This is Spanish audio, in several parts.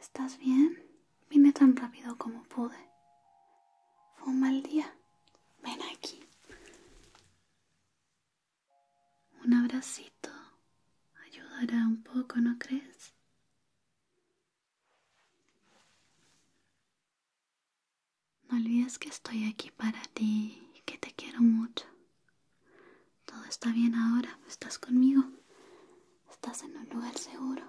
¿Estás bien? Vine tan rápido como pude. Fue un mal día. Ven aquí. Un abracito ayudará un poco, ¿no crees? No olvides que estoy aquí para ti, y que te quiero mucho. Todo está bien ahora, estás conmigo, estás en un lugar seguro.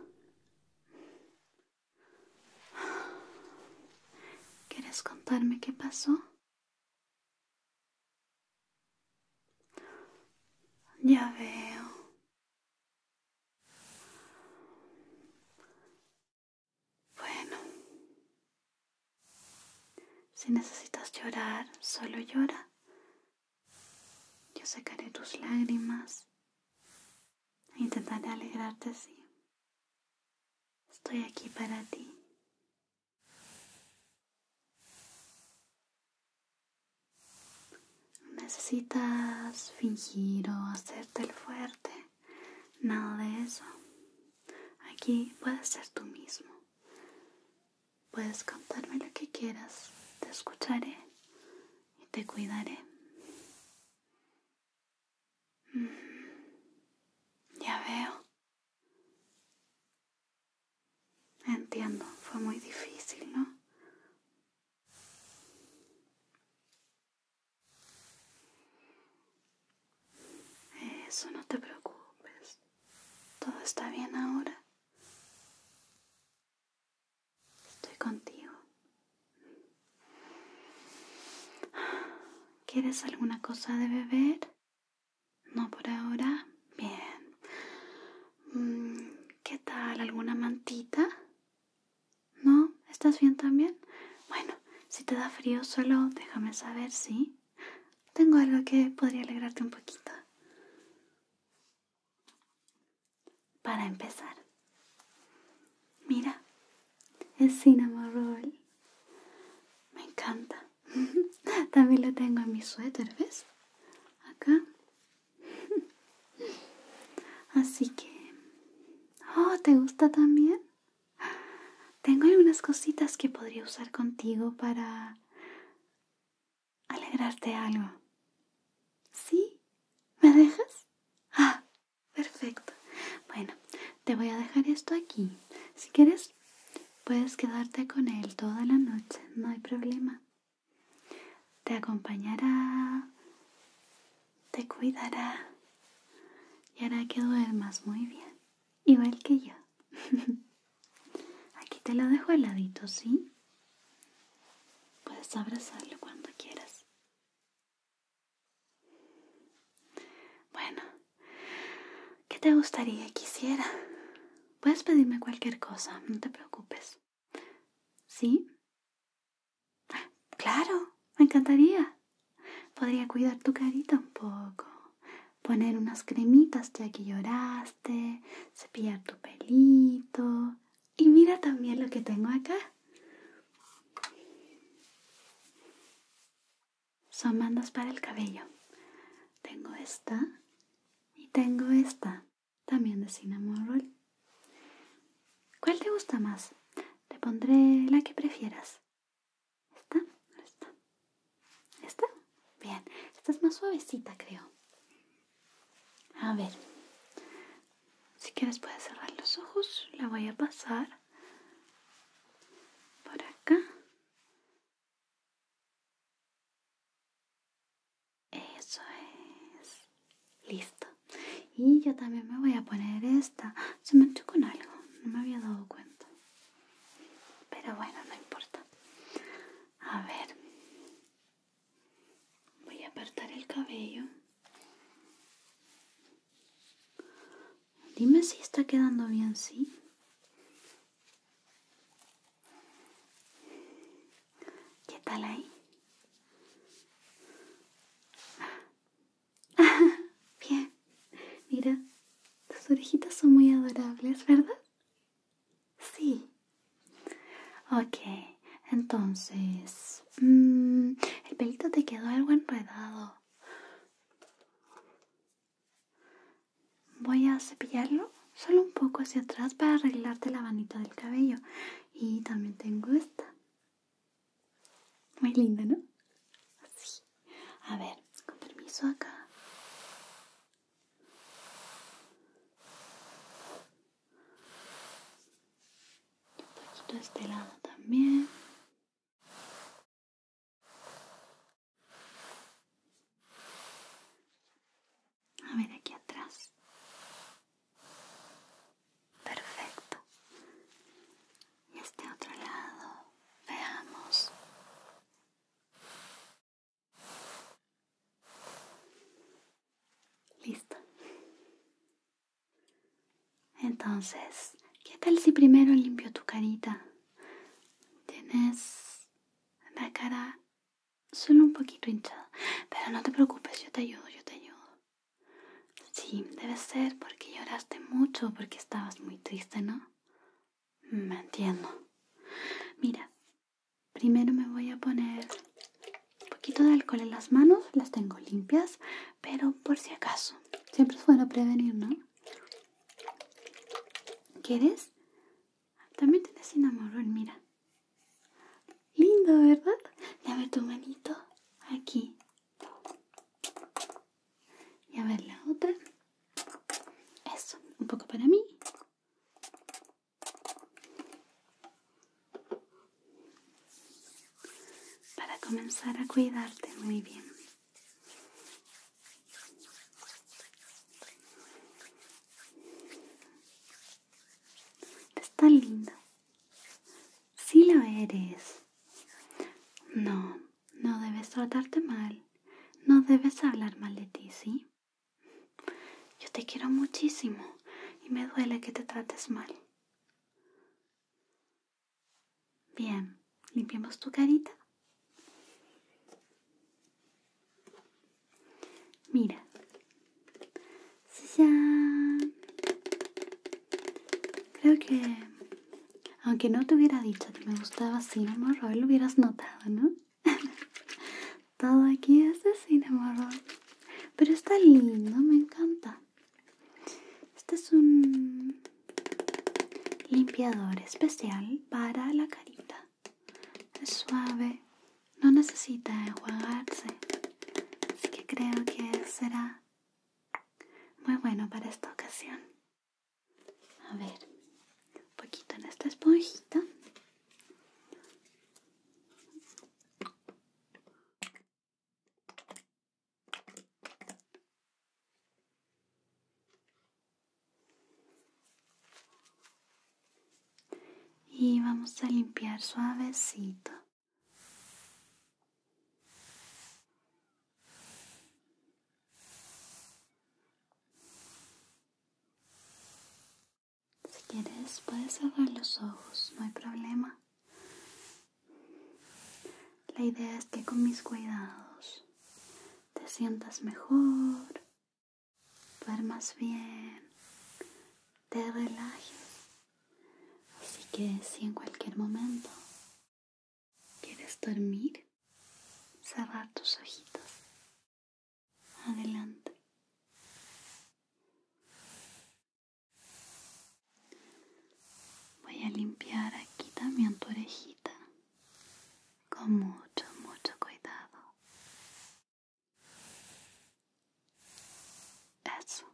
¿Quieres contarme qué pasó? Ya veo. Bueno, si necesitas llorar, solo llora. Yo secaré tus lágrimas e intentaré alegrarte, sí. Estoy aquí para ti. Necesitas fingir o hacerte el fuerte. Nada de eso. Aquí puedes ser tú mismo. Puedes contarme lo que quieras, te escucharé y te cuidaré. Ya veo. Entiendo, fue muy difícil, ¿no? Eso no te preocupes. Todo está bien ahora. Estoy contigo. ¿Quieres alguna cosa de beber? No por ahora. Bien. Mm, ¿Qué tal? ¿Alguna mantita? ¿No? ¿Estás bien también? Bueno, si te da frío solo déjame saber, ¿sí? tengo algo que podría alegrarte un poquito. Para empezar, mira, es cinnamon roll. Me encanta. También lo tengo en mi suéter, ¿ves? Acá. Así que... Oh, ¿te gusta también? Tengo algunas cositas que podría usar contigo para alegrarte algo. ¿Sí? ¿Me dejas? Ah, perfecto. Bueno, te voy a dejar esto aquí. Si quieres, puedes quedarte con él toda la noche, no hay problema. Te acompañará, te cuidará y hará que duermas muy bien igual que yo. Aquí te lo dejo al ladito, ¿sí? Puedes abrazarlo cuando quieras. Bueno, ¿qué te gustaría quisiera? Puedes pedirme cualquier cosa, no te preocupes. ¿Sí? Claro, me encantaría. Podría cuidar tu carita un poco, poner unas cremitas ya que lloraste, cepillar tu pelito. Y mira también lo que tengo acá. Son bandas para el cabello. Tengo esta y tengo esta, también de cinnamon roll. ¿Cuál te gusta más? Te pondré la que prefieras. ¿Esta? ¿Esta? Esta? Bien, esta es más suavecita, creo. A ver, si quieres puedes cerrar los ojos, la voy a pasar por acá. Eso es. Listo. Y yo también me voy a poner esta. Se me manchó con algo, no me había dado cuenta. Pero bueno, no importa. A ver, voy a apartar el cabello. Dime si está quedando bien, ¿sí? ¿Qué tal ahí? bien, mira, tus orejitas son muy adorables, ¿verdad? Sí. Ok, entonces... Mm, el pelito te quedó algo enredado. Voy a cepillarlo solo un poco hacia atrás para arreglarte la vanita del cabello. Y también tengo esta. Muy linda, ¿no? Así. A ver, con permiso acá un poquito de este lado también. A ver aquí atrás. Perfecto. Y este otro lado. Veamos. Listo. Entonces, ¿qué tal si primero limpio tu carita? Tienes la cara solo un poquito hinchada, pero no te preocupes, yo te ayudo, yo te ayudo. Sí, debe ser porque lloraste mucho, porque estabas muy triste, ¿no? Me mm, entiendo. Mira, Primero me voy a poner un poquito de alcohol en las manos, las tengo limpias, pero por si acaso, siempre es bueno prevenir, ¿no? ¿Quieres? También tienes enamorón, mira. Lindo, ¿verdad? ver tu manito aquí. Y a ver la otra. Eso, un poco para mí para comenzar a cuidarte muy bien. ¿Estás lindo. linda? Sí lo eres. No, no debes tratarte mal. No debes hablar mal de ti, ¿sí? Yo te quiero muchísimo y me duele que te trates mal. Bien, limpiemos tu carita. Mira. Creo que, aunque no te hubiera dicho que me gustaba así, amor, lo hubieras notado, ¿no? Todo aquí es de Cinemarrón. Pero está lindo, me encanta. Este es un limpiador especial para la carita. Es suave, no necesita enjuagarse. Así que creo que será muy bueno para esta ocasión. A ver, un poquito en esta esponjita. Y vamos a limpiar suavecito. Si quieres, puedes cerrar los ojos, no hay problema. La idea es que con mis cuidados te sientas mejor, duermas bien, te relajes. Así que si en cualquier momento quieres dormir, cerrar tus ojitos adelante. Voy a limpiar aquí también tu orejita con mucho, mucho cuidado. Eso.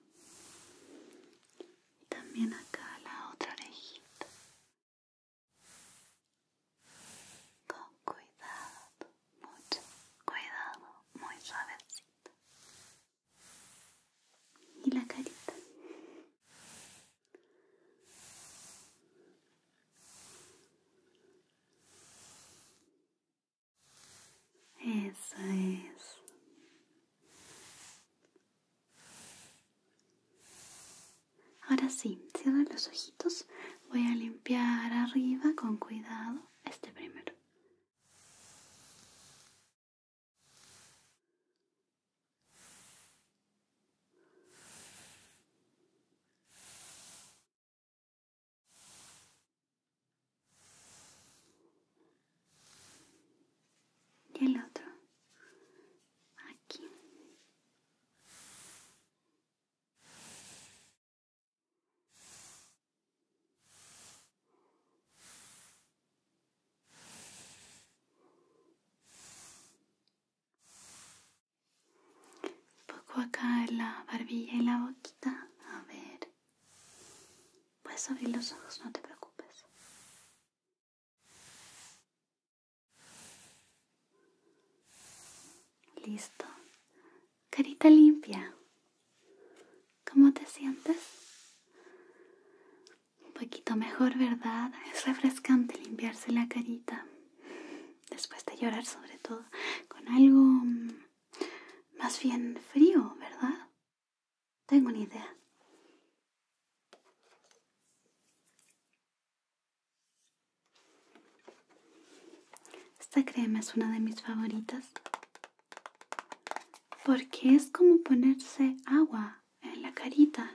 Y también acá la otra orejita. Con cuidado, mucho cuidado, muy suavecito. Y la carita. Eso es. Ahora sí, cierra los ojitos. Voy a limpiar arriba con cuidado este primero. Y el otro. Aquí poco acá en la barbilla y la boquita. A ver. Puedes abrir los ojos, no te preocupes. Listo. Carita limpia. ¿Cómo te sientes? Un poquito mejor, ¿verdad? Es refrescante limpiarse la carita. Después de llorar sobre todo. Con algo mm, más bien frío, ¿verdad? Tengo una idea. Esta crema es una de mis favoritas porque es como ponerse agua en la carita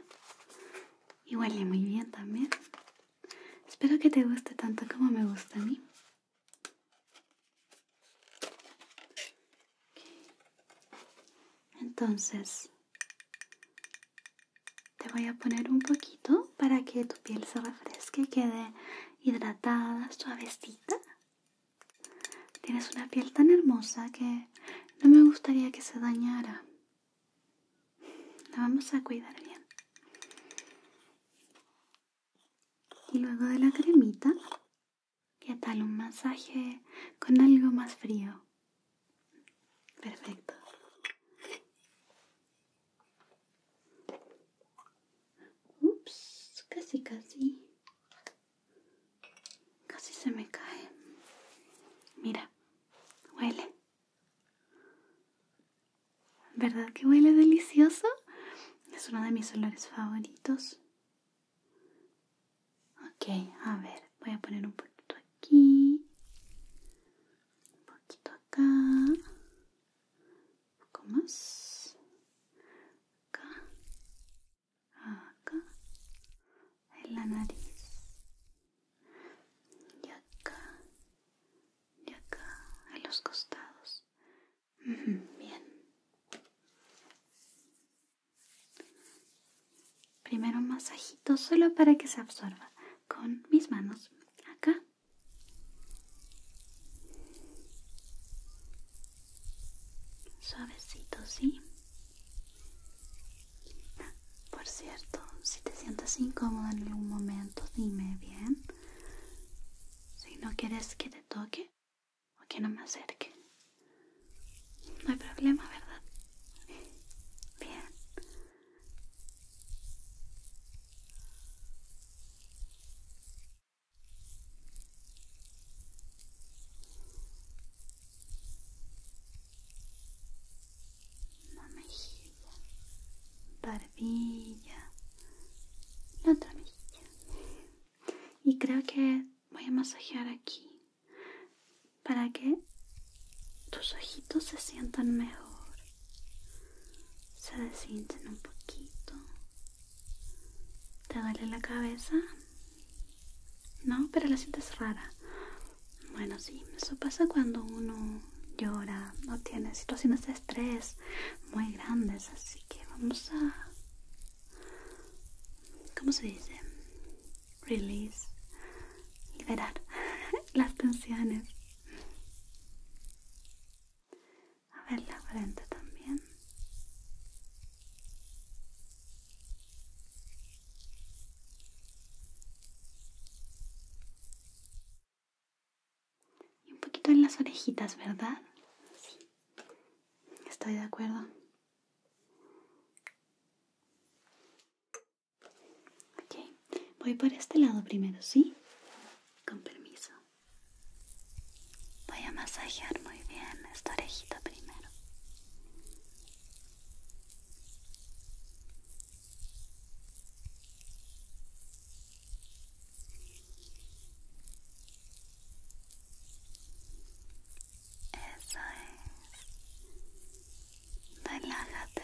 y huele muy bien también. Espero que te guste tanto como me gusta a mí. Entonces, te voy a poner un poquito para que tu piel se refresque, quede hidratada, suavecita. Tienes una piel tan hermosa que no me gustaría que se dañara. La vamos a cuidar bien. Y luego de la cremita, ¿qué tal un masaje con algo más frío? Perfecto. Ups, casi, casi. Casi se me cae. Mira, huele. ¿Verdad que huele delicioso? Es uno de mis olores favoritos. Ok, a ver, voy a poner un poquito aquí un poquito acá, un poco más, acá, acá, en la nariz, y acá, y acá, en los costados. Bien. Primero un masajito solo para que se absorba con mis manos acá. Suavecito, ¿sí? Por cierto, si te sientes incómoda en algún momento, dime bien. Si no quieres que te toque o que no me acerque. No hay problema, ¿verdad? Bien una mejilla, barbilla, la otra mejilla. Y creo que voy a masajear aquí para que tus ojitos se sientan mejor se siente un poquito. ¿Te duele la cabeza? No, pero la sientes rara. Bueno, sí, eso pasa cuando uno llora, no tiene situaciones de estrés muy grandes, así que vamos a... ¿Cómo se dice? Release, liberar las tensiones. A ver la frente también. Y un poquito en las orejitas, ¿verdad? Sí. Estoy de acuerdo. Ok, voy por este lado primero, ¿sí? Con permiso. Voy a masajear muy bien esta orejita primero. Eso es. Relájate.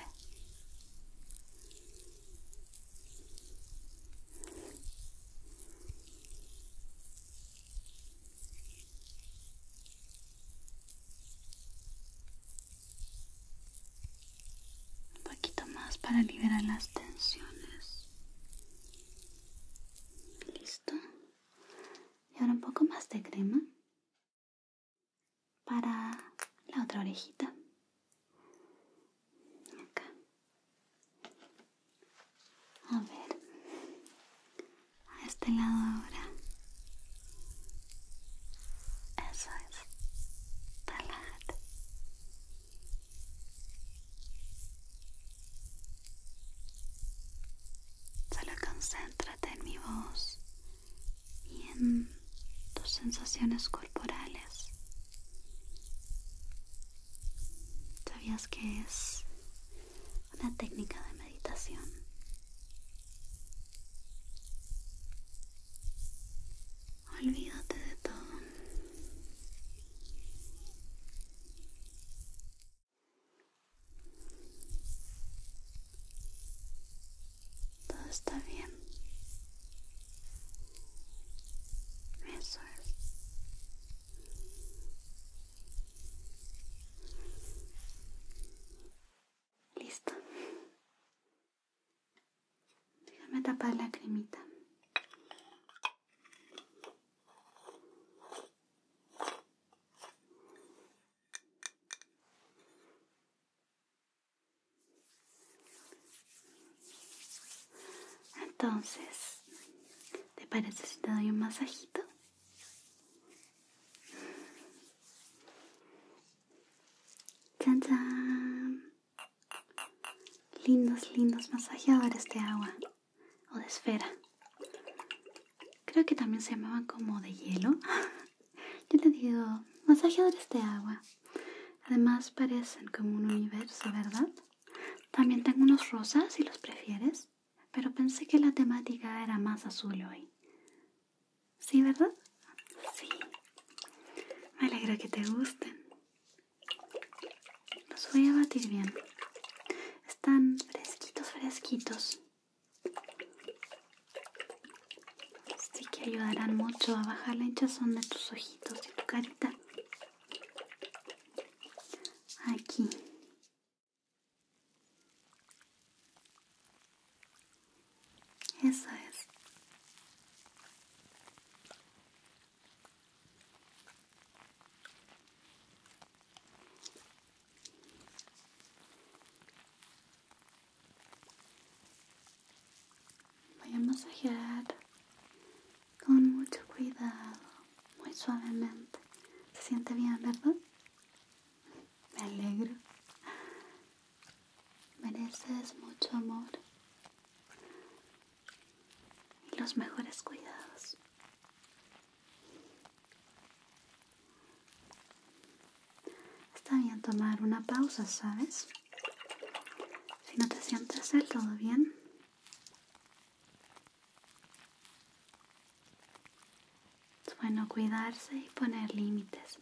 Un poquito más para liberar las tensiones. Listo. Y ahora un poco más de crema para la otra orejita. Acá. A ver. A este lado ahora. Eso es. Relájate. Solo concéntrate en mi voz y en tus sensaciones corporales. ¿Sabías que es una técnica de meditación? Olvídate de todo todo está bien. Eso es. Listo. Déjame tapar la cremita. Entonces, ¿te parece si te doy un masajito? Lindos, lindos masajeadores de agua o de esfera. Creo que también se llamaban como de hielo. Yo te digo, masajeadores de agua. Además parecen como un universo, ¿verdad? También tengo unos rosas si los prefieres, pero pensé que la temática era más azul hoy. ¿Sí, verdad? Sí. Me alegra que te gusten. Los voy a batir bien. Están fresquitos, fresquitos. Así que ayudarán mucho a bajar la hinchazón de tus ojitos y tu carita. Aquí. Eso es. Voy a masajear con mucho cuidado, muy suavemente. Se siente bien, ¿verdad? Me alegro. Mereces mucho amor y los mejores cuidados. Está bien tomar una pausa, ¿sabes? Si no te sientes del todo bien, es bueno cuidarse y poner límites.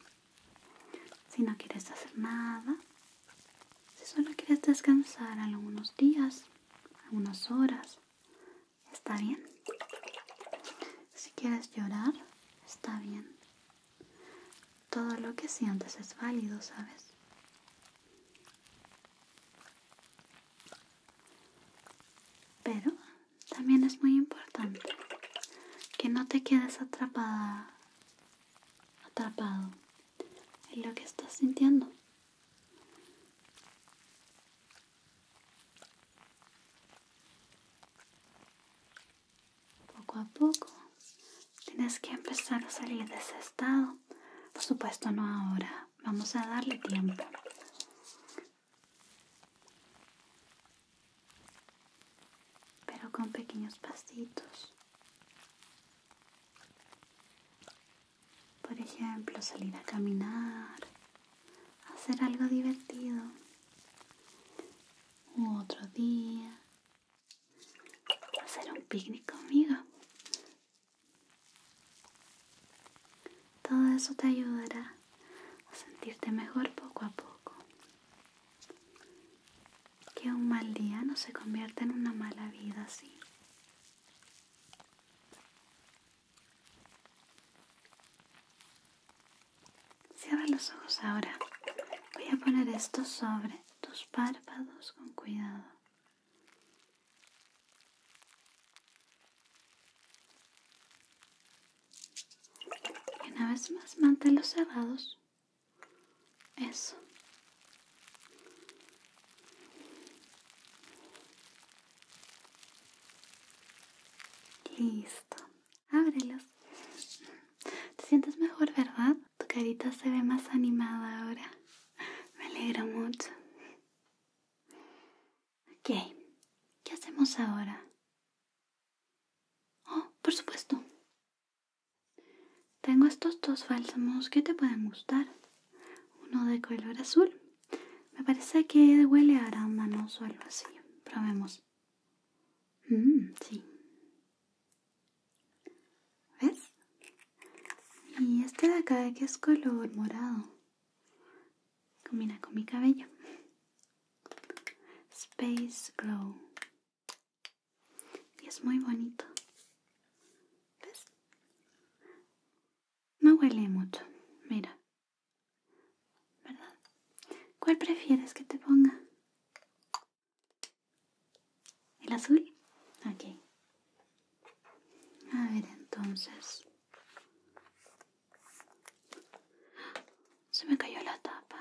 Si no quieres hacer nada, si solo quieres descansar algunos días, algunas horas, está bien. Si quieres llorar, está bien. Todo lo que sientes es válido, ¿sabes? Pero también es muy importante que no te quedes atrapada, atrapado en lo que estás sintiendo. Poco a poco tienes que empezar a salir de ese estado. Por supuesto, no ahora. Vamos a darle tiempo. Pero con pequeños pasitos. Por ejemplo, salir a caminar, hacer algo divertido. otro día, hacer un picnic conmigo. Todo eso te ayudará a sentirte mejor poco a poco. Que un mal día no se convierta en una mala vida así. Cierra los ojos ahora. Voy a poner esto sobre tus párpados con cuidado. Y una vez más, manténlos cerrados. Eso. Listo. Ábrelos. Te sientes mejor, ¿verdad? Tu carita se ve más animada ahora. Me alegro mucho. Ok, ¿qué hacemos ahora? Oh, por supuesto. Tengo estos dos fálsamos que te pueden gustar. Uno de color azul. Me parece que huele a arándanos o algo así. Probemos. Mmm, sí. ¿Ves? Y este de acá que es color morado. Combina con mi cabello. Space Glow. Y es muy bonito. ¿Ves? No huele mucho. Mira. ¿Verdad? ¿Cuál prefieres que te ponga? ¿El azul? aquí, A ver, entonces. Se me cayó la tapa.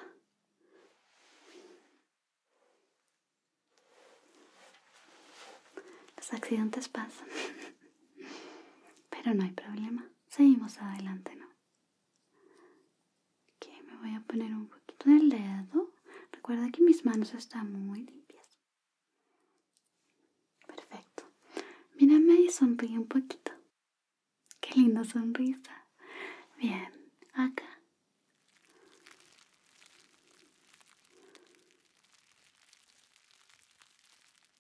Los accidentes pasan. Pero no hay problema. Seguimos adelante, ¿no? que me voy a poner un poquito de dedo recuerda que mis manos están muy limpias perfecto mírame y sonríe un poquito qué linda sonrisa bien acá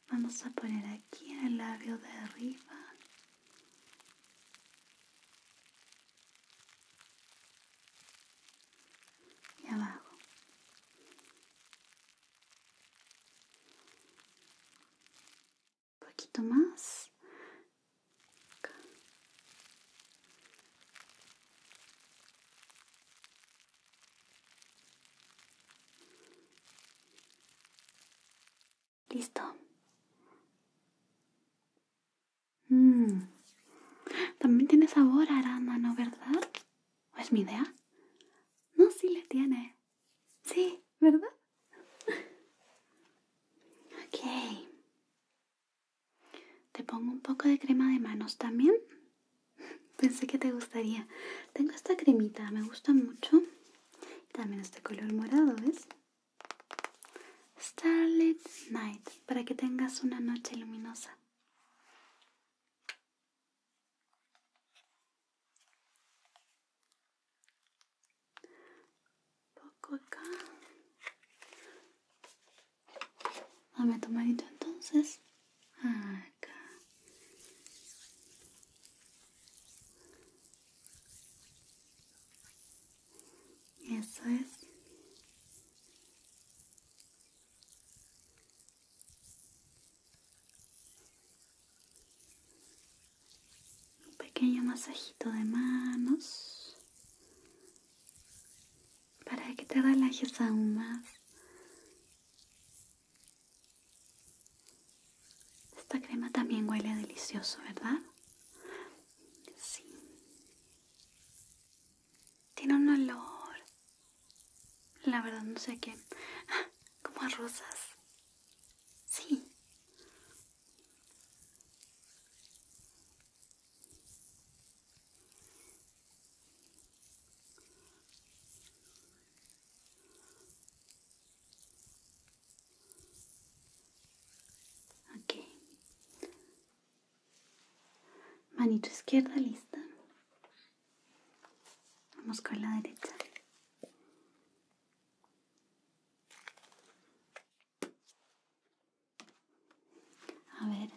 vamos a poner aquí en el labio de arriba y abajo. Un poquito más. Listo. Mm. También tiene sabor a arándano, ¿verdad? ¿O es mi idea? No, sí le tiene. Sí, ¿verdad? ok. Te pongo un poco de crema de manos también. Pensé que te gustaría. Tengo esta cremita, me gusta mucho. También este color morado, ¿ves? Starlit Night, para que tengas una noche luminosa. Poco acá. Dame manito entonces. Acá. Eso es. Un pequeño masajito de manos para que te relajes aún más. Esta crema también huele delicioso, ¿verdad? Sí. Tiene un olor. La verdad no sé qué. Ah, como a rosas. Sí. Manito izquierda, lista. Vamos con la derecha. A ver,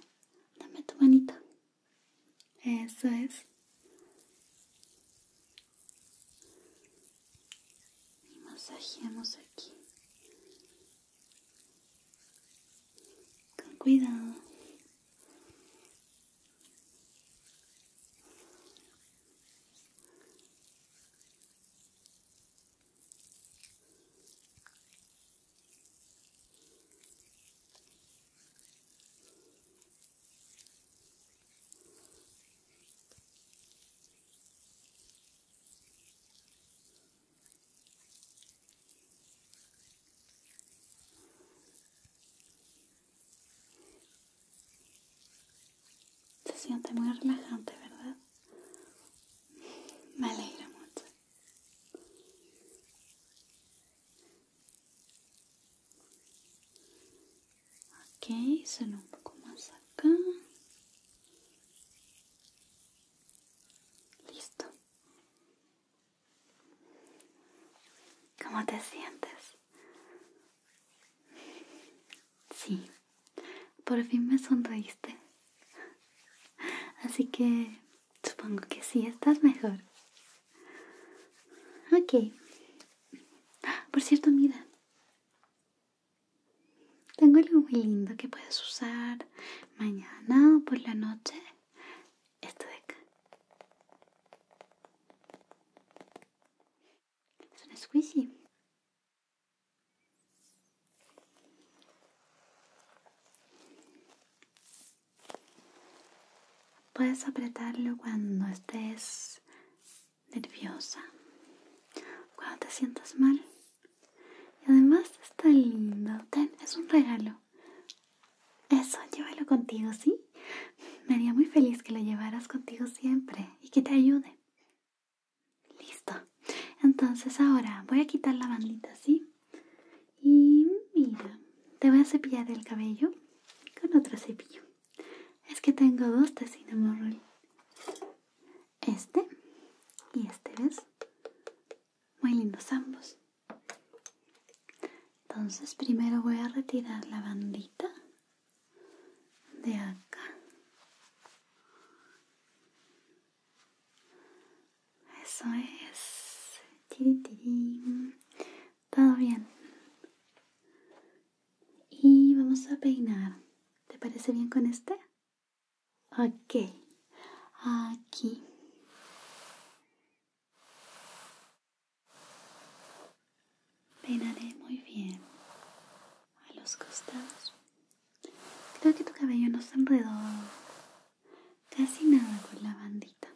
dame tu manito. Eso es. Y masajeamos aquí con cuidado. Se siente muy relajante, ¿verdad? Me alegra mucho. Ok, solo un poco más acá. Listo. ¿Cómo te sientes? Sí, por fin me sonreíste. Así que supongo que sí, estás mejor. Ok. Por cierto, mira. Tengo algo muy lindo que puedes usar mañana o por la noche. Esto de acá. Es un squishy. Puedes apretarlo cuando estés nerviosa, cuando te sientas mal. Y además está lindo. Ten, es un regalo. Eso, llévalo contigo, ¿sí? Me haría muy feliz que lo llevaras contigo siempre y que te ayude. Listo. Entonces ahora voy a quitar la bandita, ¿sí? Y mira, te voy a cepillar el cabello con otro cepillo. Es que tengo dos de este y este, ¿ves? Muy lindos ambos. Entonces primero voy a retirar la bandita de acá. Eso es. Todo bien. Y vamos a peinar. ¿Te parece bien con este? Ok, aquí. Peinaré muy bien a los costados. Creo que tu cabello no se enredó casi nada con la bandita.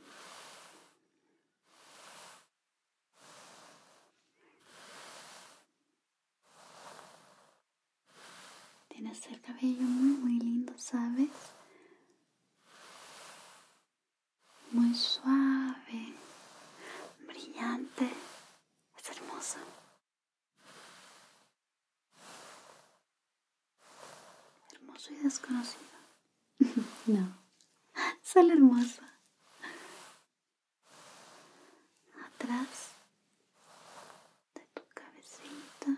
Tienes el cabello muy, muy lindo, ¿sabes? Muy suave, brillante, es hermoso. Hermoso y desconocido. no, Sale hermoso. Atrás de tu cabecita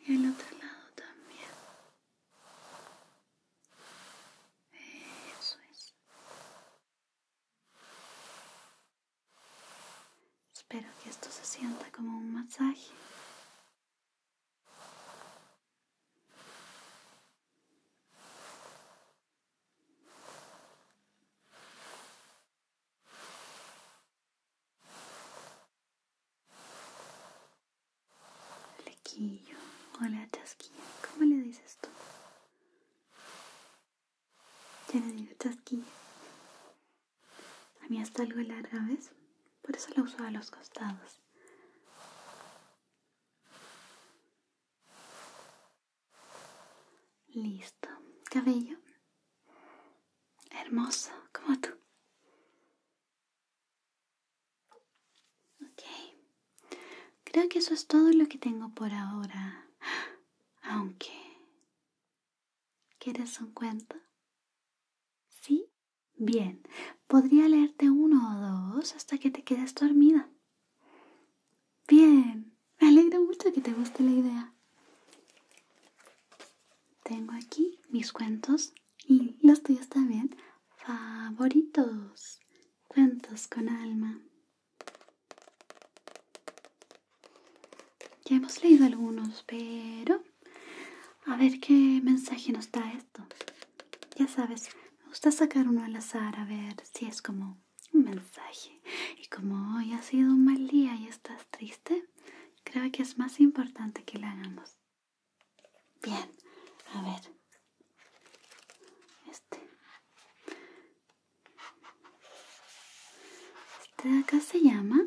y el otro lado también. Eso es. Espero que esto se sienta como un masaje. Lequillo, hola chasquilla, ¿cómo le dices tú? Ya le digo chasquilla. A mí está algo larga, ¿ves? Por eso la uso a los costados. Listo. Cabello. Hermoso, como tú. Ok. Creo que eso es todo lo que tengo por ahora. Aunque... ¿Quieres un cuento? ¿Sí? Bien. Podría leerte uno o dos hasta que te quedes dormida. Bien, me alegro mucho que te guste la idea. Tengo aquí mis cuentos y los tuyos también favoritos. Cuentos con alma. Ya hemos leído algunos, pero a ver qué mensaje nos da esto. Ya sabes, me gusta sacar uno al azar a ver si es como un mensaje. Y como hoy ha sido un mal día y estás triste, creo que es más importante que lo hagamos. Bien, a ver. Este. este acá se llama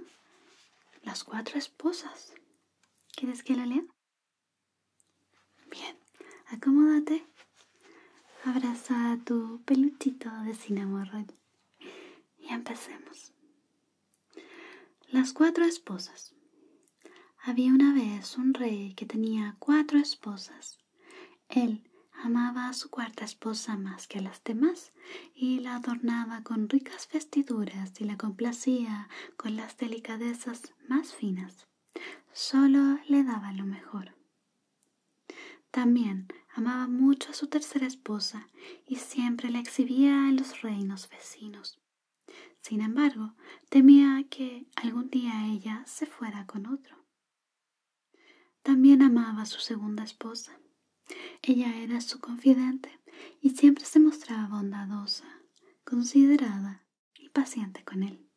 Las cuatro esposas. ¿Quieres que la lea? Bien, acomódate. Abraza a tu peluchito de sinamorro y empecemos. Las cuatro esposas. Había una vez un rey que tenía cuatro esposas. Él amaba a su cuarta esposa más que a las demás y la adornaba con ricas vestiduras y la complacía con las delicadezas más finas. Solo le daba lo mejor. También amaba mucho a su tercera esposa y siempre la exhibía en los reinos vecinos. Sin embargo, temía que algún día ella se fuera con otro. También amaba a su segunda esposa. Ella era su confidente y siempre se mostraba bondadosa, considerada y paciente con él.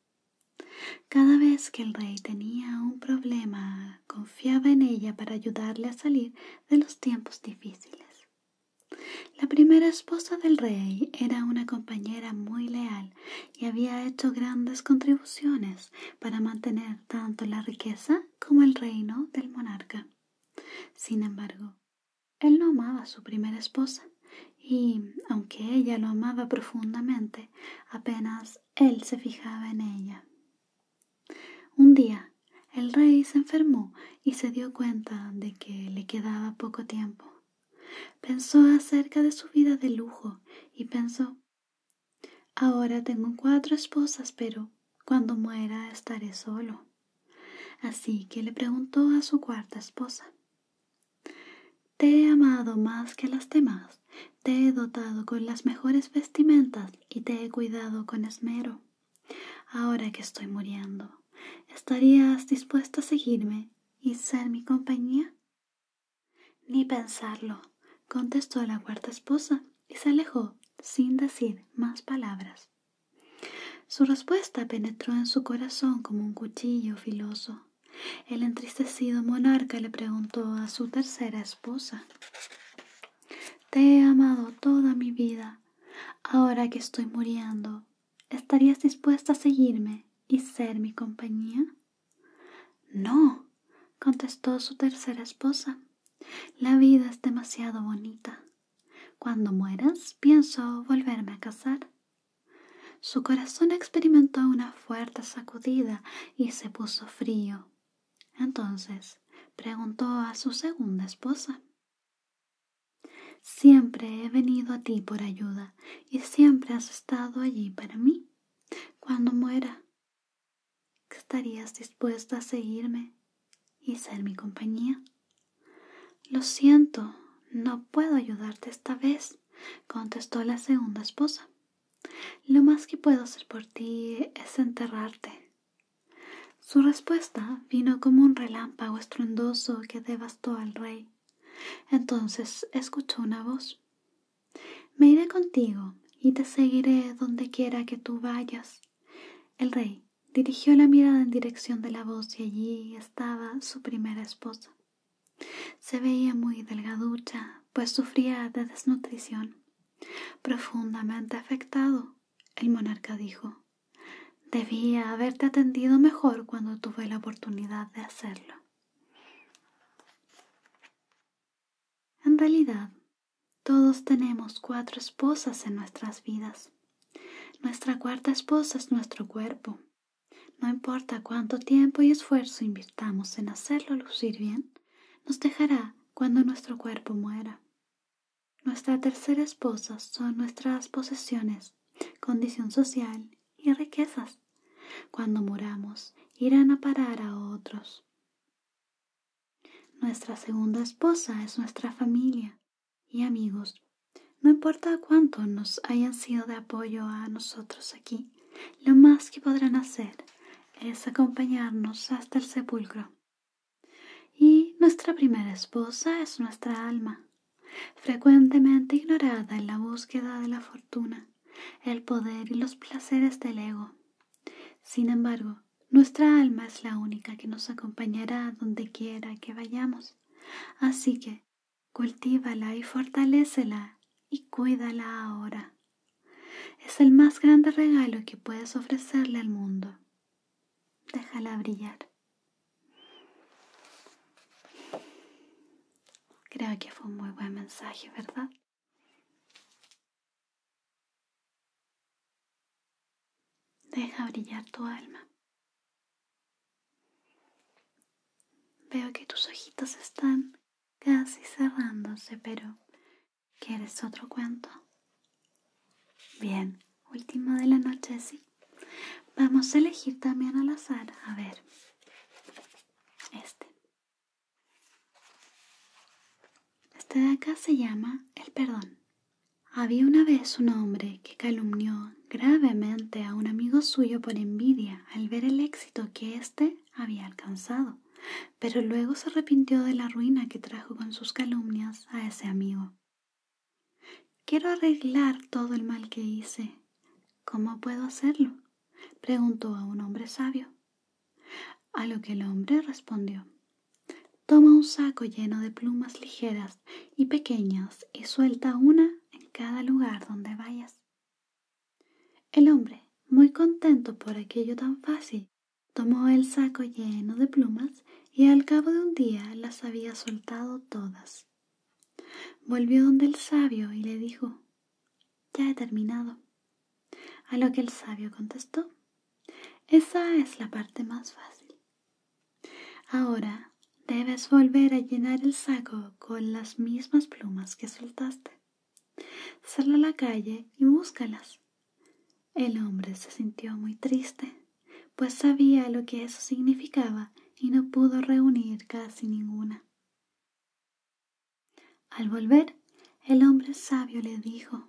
Cada vez que el rey tenía un problema confiaba en ella para ayudarle a salir de los tiempos difíciles. La primera esposa del rey era una compañera muy leal y había hecho grandes contribuciones para mantener tanto la riqueza como el reino del monarca. Sin embargo, él no amaba a su primera esposa y, aunque ella lo amaba profundamente, apenas él se fijaba en ella. Un día el rey se enfermó y se dio cuenta de que le quedaba poco tiempo. Pensó acerca de su vida de lujo y pensó, ahora tengo cuatro esposas, pero cuando muera estaré solo. Así que le preguntó a su cuarta esposa, ¿te he amado más que las demás? Te he dotado con las mejores vestimentas y te he cuidado con esmero. Ahora que estoy muriendo, ¿estarías dispuesto a seguirme y ser mi compañía? Ni pensarlo, contestó la cuarta esposa y se alejó sin decir más palabras. Su respuesta penetró en su corazón como un cuchillo filoso. El entristecido monarca le preguntó a su tercera esposa te he amado toda mi vida. Ahora que estoy muriendo, ¿estarías dispuesta a seguirme y ser mi compañía? No, contestó su tercera esposa. La vida es demasiado bonita. Cuando mueras, pienso volverme a casar. Su corazón experimentó una fuerte sacudida y se puso frío, entonces preguntó a su segunda esposa. Siempre he venido a ti por ayuda y siempre has estado allí para mí. Cuando muera, ¿estarías dispuesta a seguirme y ser mi compañía? Lo siento, no puedo ayudarte esta vez, contestó la segunda esposa. Lo más que puedo hacer por ti es enterrarte. Su respuesta vino como un relámpago estruendoso que devastó al rey. Entonces escuchó una voz. Me iré contigo y te seguiré donde quiera que tú vayas. El rey dirigió la mirada en dirección de la voz y allí estaba su primera esposa. Se veía muy delgaducha, pues sufría de desnutrición. Profundamente afectado, el monarca dijo, debía haberte atendido mejor cuando tuve la oportunidad de hacerlo. En realidad, todos tenemos cuatro esposas en nuestras vidas. Nuestra cuarta esposa es nuestro cuerpo. No importa cuánto tiempo y esfuerzo invirtamos en hacerlo lucir bien, nos dejará cuando nuestro cuerpo muera. Nuestra tercera esposa son nuestras posesiones, condición social y riquezas. Cuando moramos irán a parar a otros. Nuestra segunda esposa es nuestra familia y amigos. No importa cuánto nos hayan sido de apoyo a nosotros aquí, lo más que podrán hacer es acompañarnos hasta el sepulcro. Y nuestra primera esposa es nuestra alma, frecuentemente ignorada en la búsqueda de la fortuna, el poder y los placeres del ego. Sin embargo, nuestra alma es la única que nos acompañará donde quiera que vayamos. Así que, cultívala y fortalécela y cuídala ahora. Es el más grande regalo que puedes ofrecerle al mundo. Déjala brillar. Creo que fue un muy buen mensaje, ¿verdad? Deja brillar tu alma. Veo que tus ojitos están casi cerrándose, pero ¿Quieres otro cuento? Bien, último de la noche, sí. Vamos a elegir también al azar. A ver. Este. Este de acá se llama El Perdón. Había una vez un hombre que calumnió gravemente a un amigo suyo por envidia al ver el éxito que éste había alcanzado, pero luego se arrepintió de la ruina que trajo con sus calumnias a ese amigo. Quiero arreglar todo el mal que hice. ¿Cómo puedo hacerlo? preguntó a un hombre sabio. A lo que el hombre respondió Toma un saco lleno de plumas ligeras y pequeñas y suelta una en cada lugar donde vayas. El hombre, muy contento por aquello tan fácil, Tomó el saco lleno de plumas y al cabo de un día las había soltado todas. Volvió donde el sabio y le dijo, Ya he terminado. A lo que el sabio contestó, Esa es la parte más fácil. Ahora debes volver a llenar el saco con las mismas plumas que soltaste. Sal a la calle y búscalas. El hombre se sintió muy triste, pues sabía lo que eso significaba y no pudo reunir casi ninguna. Al volver, el hombre sabio le dijo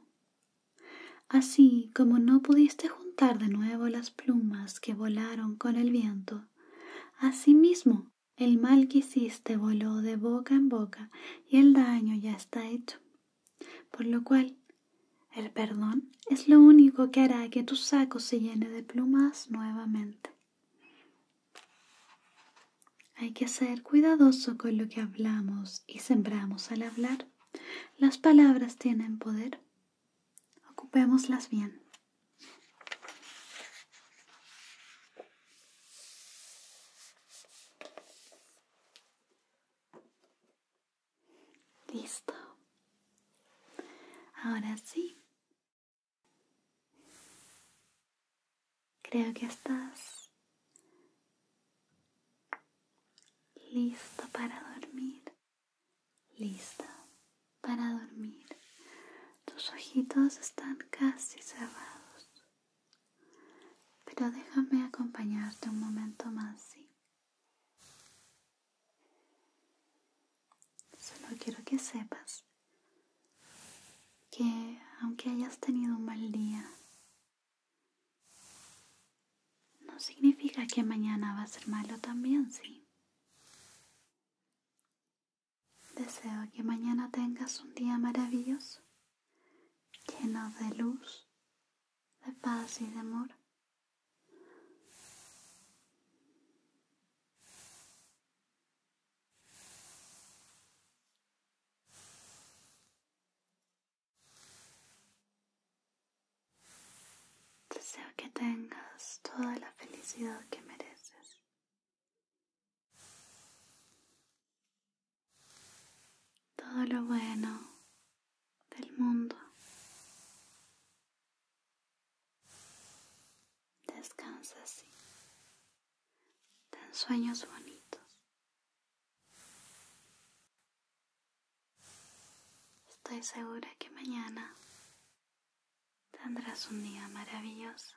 Así como no pudiste juntar de nuevo las plumas que volaron con el viento, asimismo el mal que hiciste voló de boca en boca y el daño ya está Por lo cual, el perdón es lo único que hará que tu saco se llene de plumas nuevamente. Hay que ser cuidadoso con lo que hablamos y sembramos al hablar. Las palabras tienen poder. Ocupémoslas bien. Listo. Ahora sí. Creo que estás listo para dormir. Listo para dormir. Tus ojitos están casi cerrados. Pero déjame acompañarte un momento más, ¿sí? Solo quiero que sepas que aunque hayas tenido un mal día, no significa que mañana va a ser malo también, ¿sí? Deseo que mañana tengas un día maravilloso llenos de luz, de paz y de amor. Deseo que tengas toda la felicidad que mereces todo lo bueno del mundo. Descansa así. Ten sueños bonitos. Estoy segura que mañana tendrás un día maravilloso.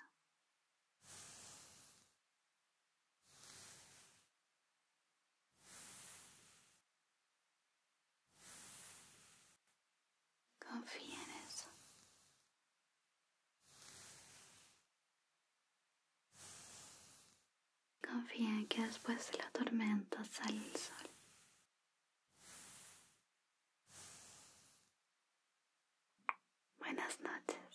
Confía en eso. Confía en que después de la tormenta sale el sol. Buenas noches.